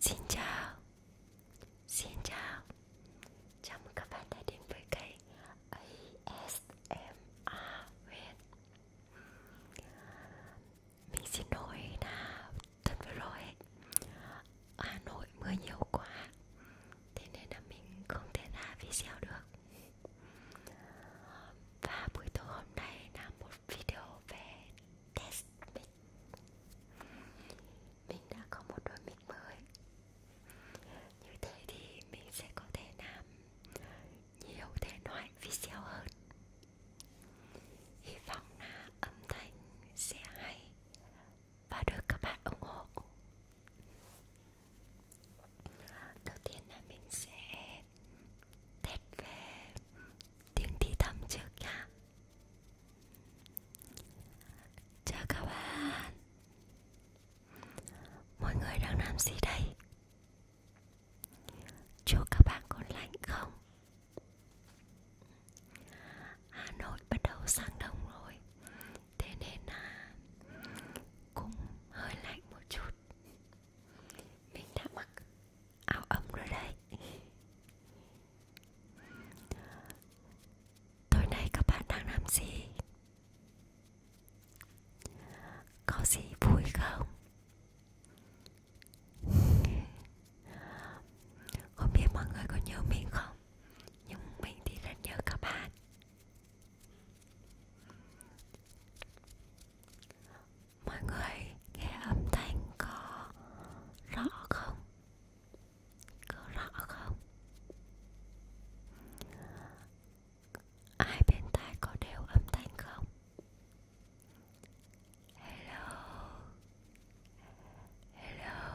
Xin chào Xin chào Chào mừng các bạn đã đến với kênh ASMR Huyền Mình xin lỗi là tuần vừa rồi Hà Nội mưa nhiều quá thế nên là mình không thể ra video được và buổi tối hôm nay là một video về test mic mình đã có một đôi mic mới như thế thì mình sẽ có thể làm nhiều thể loại video hơn hy vọng là âm thanh sẽ hay và được các bạn ủng hộ đầu tiên là mình sẽ test về tiếng thì thầm trước nha chào các bạn mọi người đang làm gì đây chúc các bạn còn lạnh không Hà Nội bắt đầu sang đông rồi thế nên là cũng hơi lạnh một chút mình đã mặc áo ấm rồi đấy tối nay các bạn đang làm gì có gì vui không không biết mọi người có nhớ mình không nhưng mình thì rất nhớ các bạn Mọi người nghe âm thanh có rõ không? Có rõ không? Ai bên tai có đều âm thanh không? Hello Hello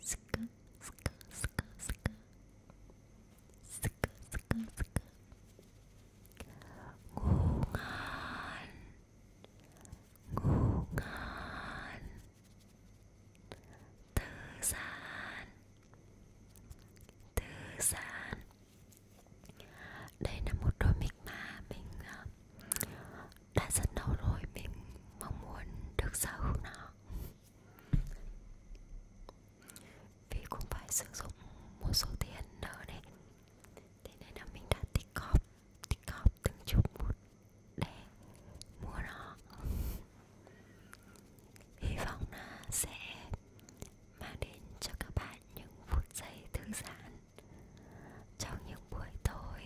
Ska, ska, ska, ska. Ska, ska, ska. Ngu ngàn. Ngu ngàn. Thư giãn. Thư giãn. Đây là một đôi mic mà mình à, đã rất lâu rồi mình mong muốn được sở hữu nó vì cũng phải sử dụng một số tiền nợ đấy thế nên là mình đã tích góp tích góp từng chút một để mua nó hy vọng là sẽ mang đến cho các bạn những phút giây thư giãn trong những buổi tối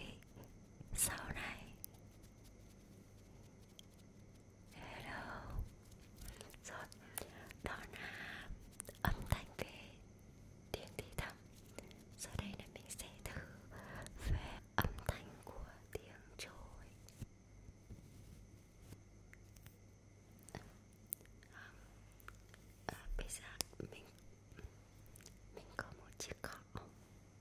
sau này Hello Rồi Đó là âm thanh về tiếng thì thầm Sau đây là mình sẽ thử về âm thanh của tiếng trôi à, à, Bây giờ mình Mình có một chiếc cọ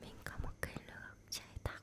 Mình có một cây lược chạy tắc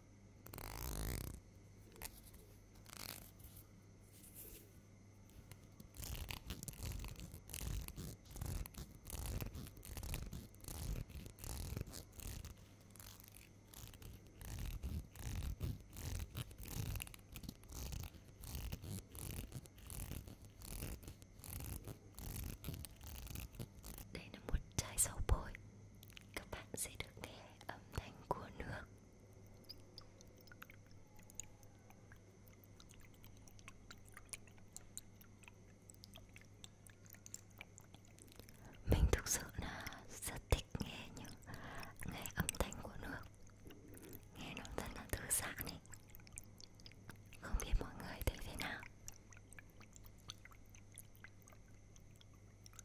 Đây là một chai dầu bôi Các bạn sẽ được nghe âm thanh của nước mình thực sự là rất thích nghe những nghe âm thanh của nước nghe nó rất là thư giãn ấy không biết mọi người thấy thế nào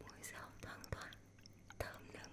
Mùi rau thoang thoảng Thơm nừng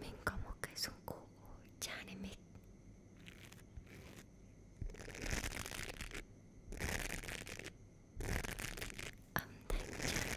Mình có một cái dụng cụ trà để mic âm thanh trà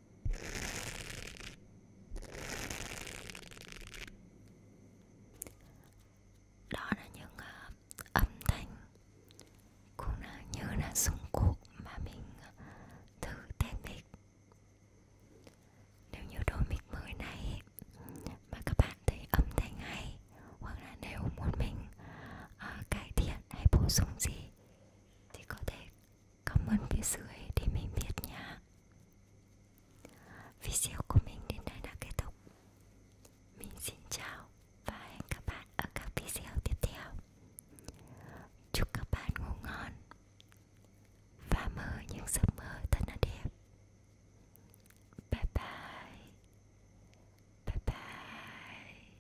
đó là những uh, âm thanh cũng là như là dụng cụ mà mình ờ, thử test mic nếu như đôi mic mới này mà các bạn thấy âm thanh hay hoặc là nếu muốn mình uh, cải thiện hay bổ sung gì thì có thể comment phía dưới để mình biết nha video của mình đến đây đã kết thúc mình xin chào và hẹn các bạn ở các video tiếp theo chúc các bạn ngủ ngon và mơ những giấc mơ thật là đẹp bye bye bye bye